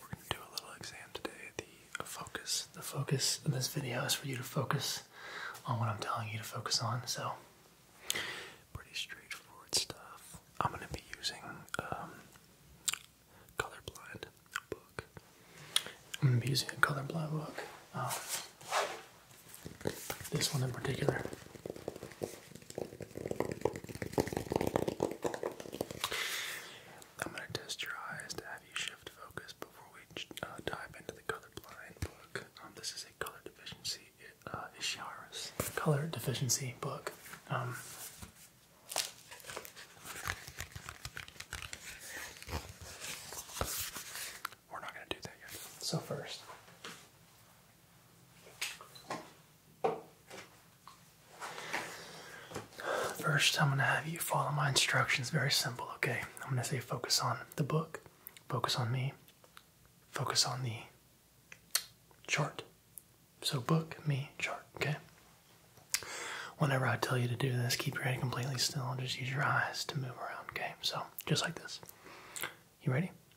We're going to do a little exam today. The focus, the focus of this video is for you to focus on what I'm telling you to focus on. So, pretty straightforward stuff. I'm going to be using um, colorblind book. I'm going to be using a colorblind book. Um, this one in particular. I'm gonna test your eyes to have you shift focus before we uh, dive into the colorblind book. Um, this is a color deficiency uh, color deficiency book. Um, we're not gonna do that yet. So first. First, I'm going to have you follow my instructions. Very simple, okay? I'm going to say focus on the book, focus on me, focus on the chart. So, book, me, chart, okay? Whenever I tell you to do this, keep your head completely still and just use your eyes to move around, okay? So, just like this. You ready?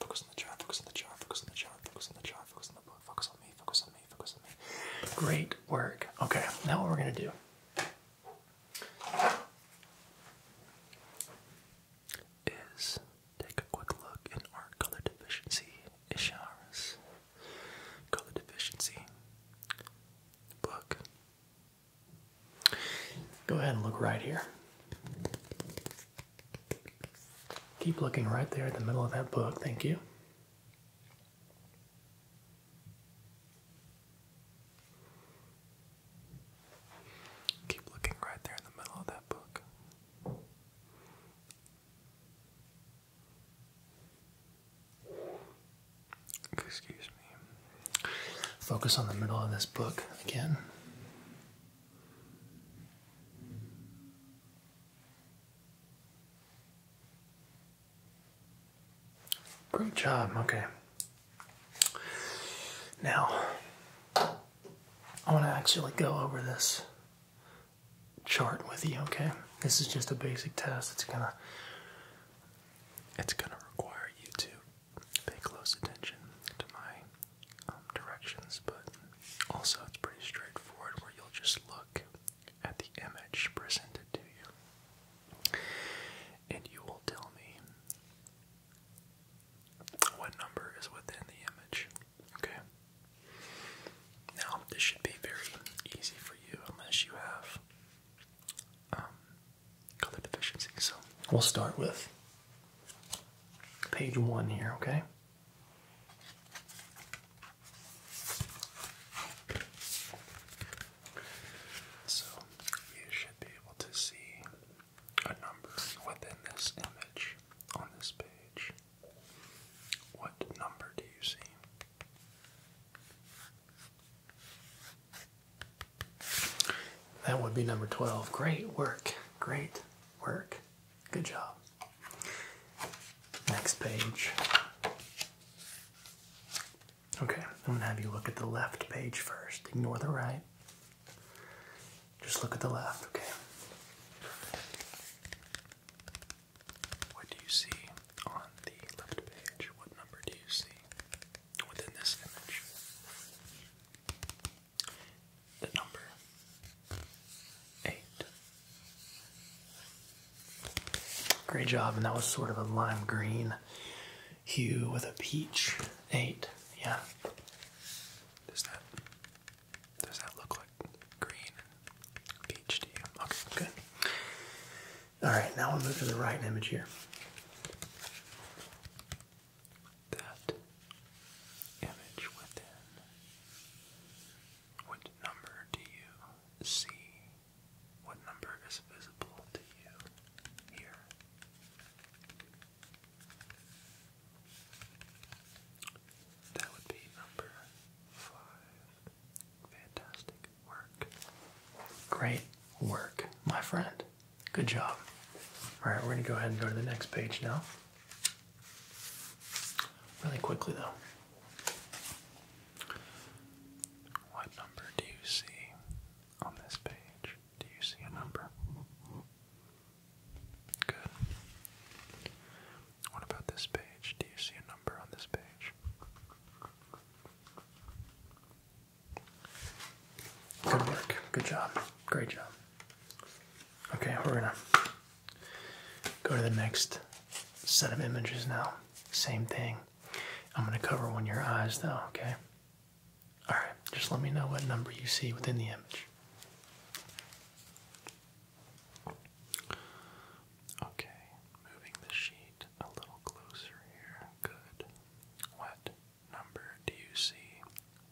Focus on the jar, focus on the jar, focus on the jar, focus on the jar, focus on the book, focus on me, focus on me, focus on me. Great work. Okay, now what we're gonna do is take a quick look in our color deficiency Isharas. Color deficiency book. Go ahead and look right here. Keep looking right there at the middle of that book. Thank you. Keep looking right there in the middle of that book. Excuse me. Focus on the middle of this book again. Great job. Okay. Now, I want to actually go over this chart with you, okay? This is just a basic test. It's going to it's going to require you to pay close attention to my um, directions, but also it's pretty straightforward where you'll just look at the image presented to you and you will tell me what number is within the image. Okay? Now, this should be very easy for you unless you have um, color deficiency. So we'll start with page one here, okay? So you should be able to see a number within this image on this page. What number do you see? That would be number 12. Great work. Great work. Good job. Next page. Okay, I'm going to have you look at the left page first. Ignore the right. Just look at the left, okay? What do you see on the left page? What number do you see? within this image. The number eight. Great job, and that was sort of a lime green hue with a peach. Eight, yeah. Does that does that look like green peach to you? Okay, good. Alright, now we'll move to the right image here that image within. What number do you see? What number is visible to you here? That would be number five. Fantastic work. Great work, my friend. Good job. All right, we're going to go ahead and go to the next page now. Really quickly, though. What number do you see on this page? Do you see a number? Good. What about this page? Do you see a number on this page? Good work. Good job. Great job. Okay, we're gonna go to the next set of images now. Same thing. I'm gonna cover one of your eyes though, okay? Alright, just let me know what number you see within the image. Okay, moving the sheet a little closer here. Good. Wet number do you see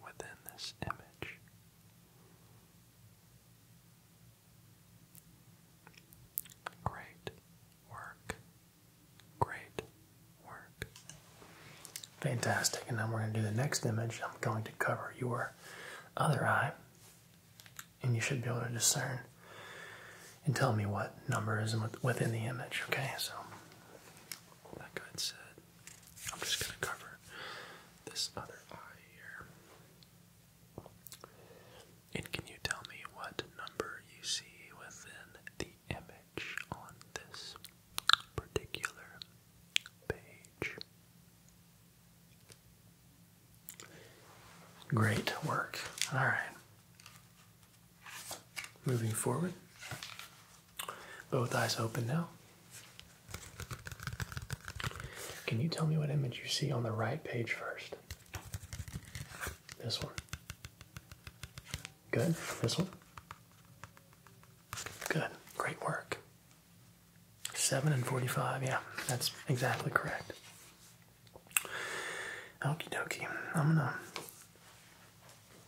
within this image? Great work. Great work. Fantastic. And now we're going to do the next image. I'm going to cover your other eye, and you should be able to discern and tell me what number is within the image. Okay, so like I said, I'm just gonna cover this other eye here. And can you tell me what number you see within the image on this particular page? Great work. All right. Moving forward, both eyes open now. Can you tell me what image you see on the right page first? This one. Good. This one. Good. Great work. 7 and 45. Yeah, that's exactly correct. Okie dokie. I'm gonna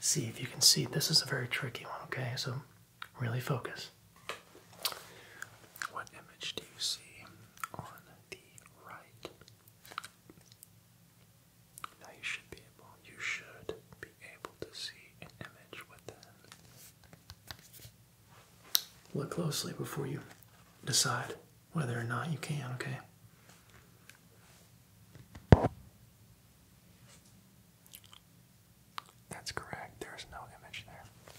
see if you can see. This is a very tricky one, okay? So really focus. What image do you see on the right? Now you should be able you should be able to see an image within. Look closely before you decide whether or not you can, okay? That's correct. There is no image there.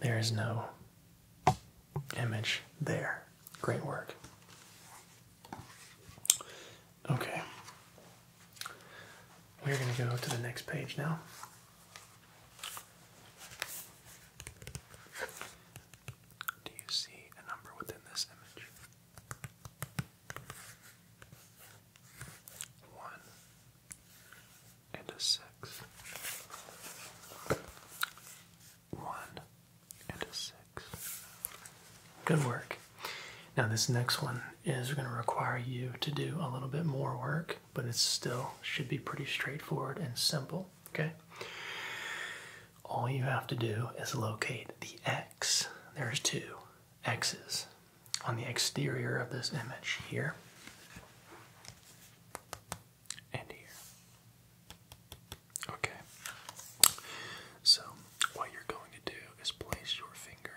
There is no image there. Great work. Okay. We're going to go to the next page now. Do you see a number within this image? One and a six. One and a six. Good work. Now, this next one is going to require you to do a little bit more work, but it still should be pretty straightforward and simple. Okay? all you have to do is locate the X. There's two X's on the exterior of this image here and here. Okay. So, what you're going to do is place your finger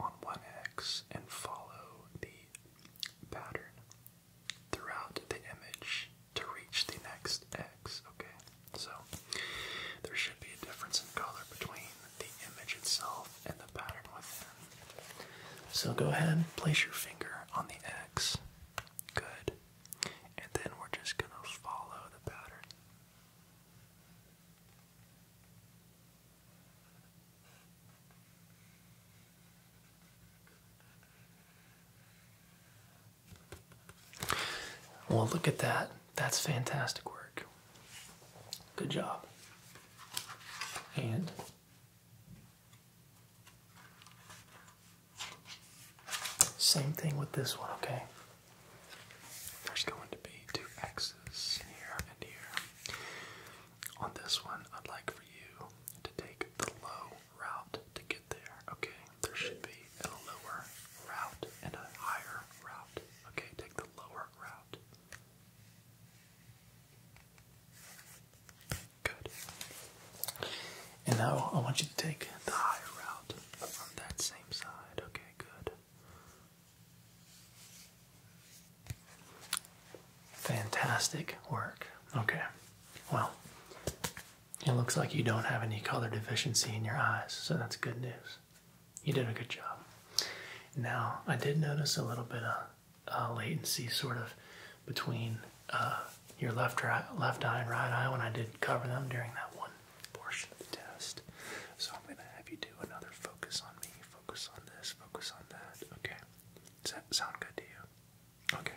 on one X and follow the pattern throughout the image to reach the next x, okay? So there should be a difference in color between the image itself and the pattern within. So go ahead and place your finger on the X. Good. And then we're just going to follow the pattern. Well, look at that. That's fantastic work. Good job. And same thing with this one, okay? There's going to be two X's here and here. On this one, I'd like for you to take the low route to get there, okay? There should be a lower route and a higher route, okay? Take the lower route. Good. And now I want you to take the higher route from that same side, okay? Good. Fantastic work. Okay. Well, it looks like you don't have any color deficiency in your eyes, so that's good news. You did a good job. Now, I did notice a little bit of uh, latency sort of between uh, your left, left eye and right eye when I did cover them during that one portion of the test. So I'm going to have you do another focus on me, focus on this, focus on that. Okay. Does that sound good to you? Okay.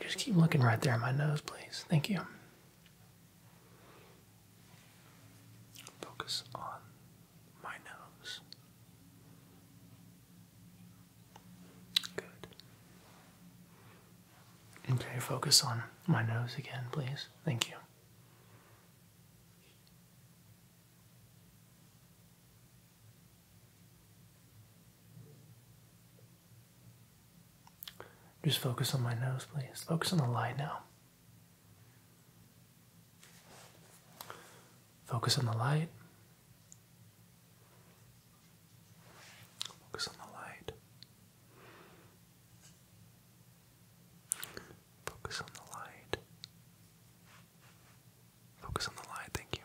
Just keep looking right there at my nose, please. Thank you. Focus on my nose. Good. Okay, focus on my nose again, please. Thank you. Just focus on my nose, please. Focus on the light now. Focus on the light. Focus on the light. Focus on the light. Focus on the light, thank you.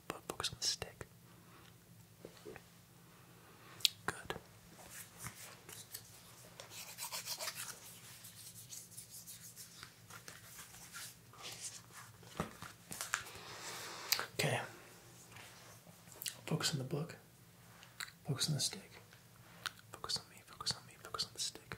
focus on the stick. Good. Okay. Focus on the book. Focus on the stick. Focus on me, focus on me, focus on the stick.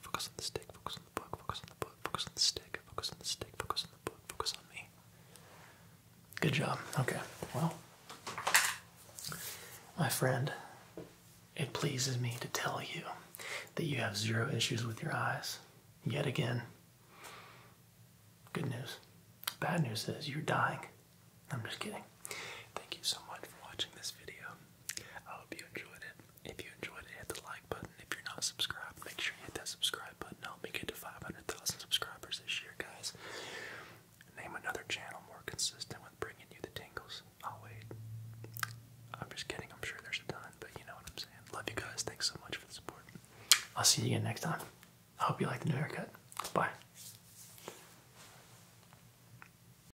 focus on the stick, focus on the book, focus on the book, focus on the stick, focus on the stick, focus on the book, focus on me. Good job. Okay. Well, my friend, it pleases me to tell you that you have zero issues with your eyes. Yet again. Good news. Bad news is you're dying. I'm just kidding. Thank you so much for watching this video. I hope you enjoyed it. If you enjoyed it, hit the like button. If you're not subscribed, make sure you hit that subscribe button. Help me get to 500,000 subscribers this year, guys. Name another channel more consistent with bringing you the tingles. I'll wait. I'm just kidding. I'm sure there's a ton, but you know what I'm saying. Love you guys. Thanks so much for the support. I'll see you again next time. I hope you like the new haircut. Bye.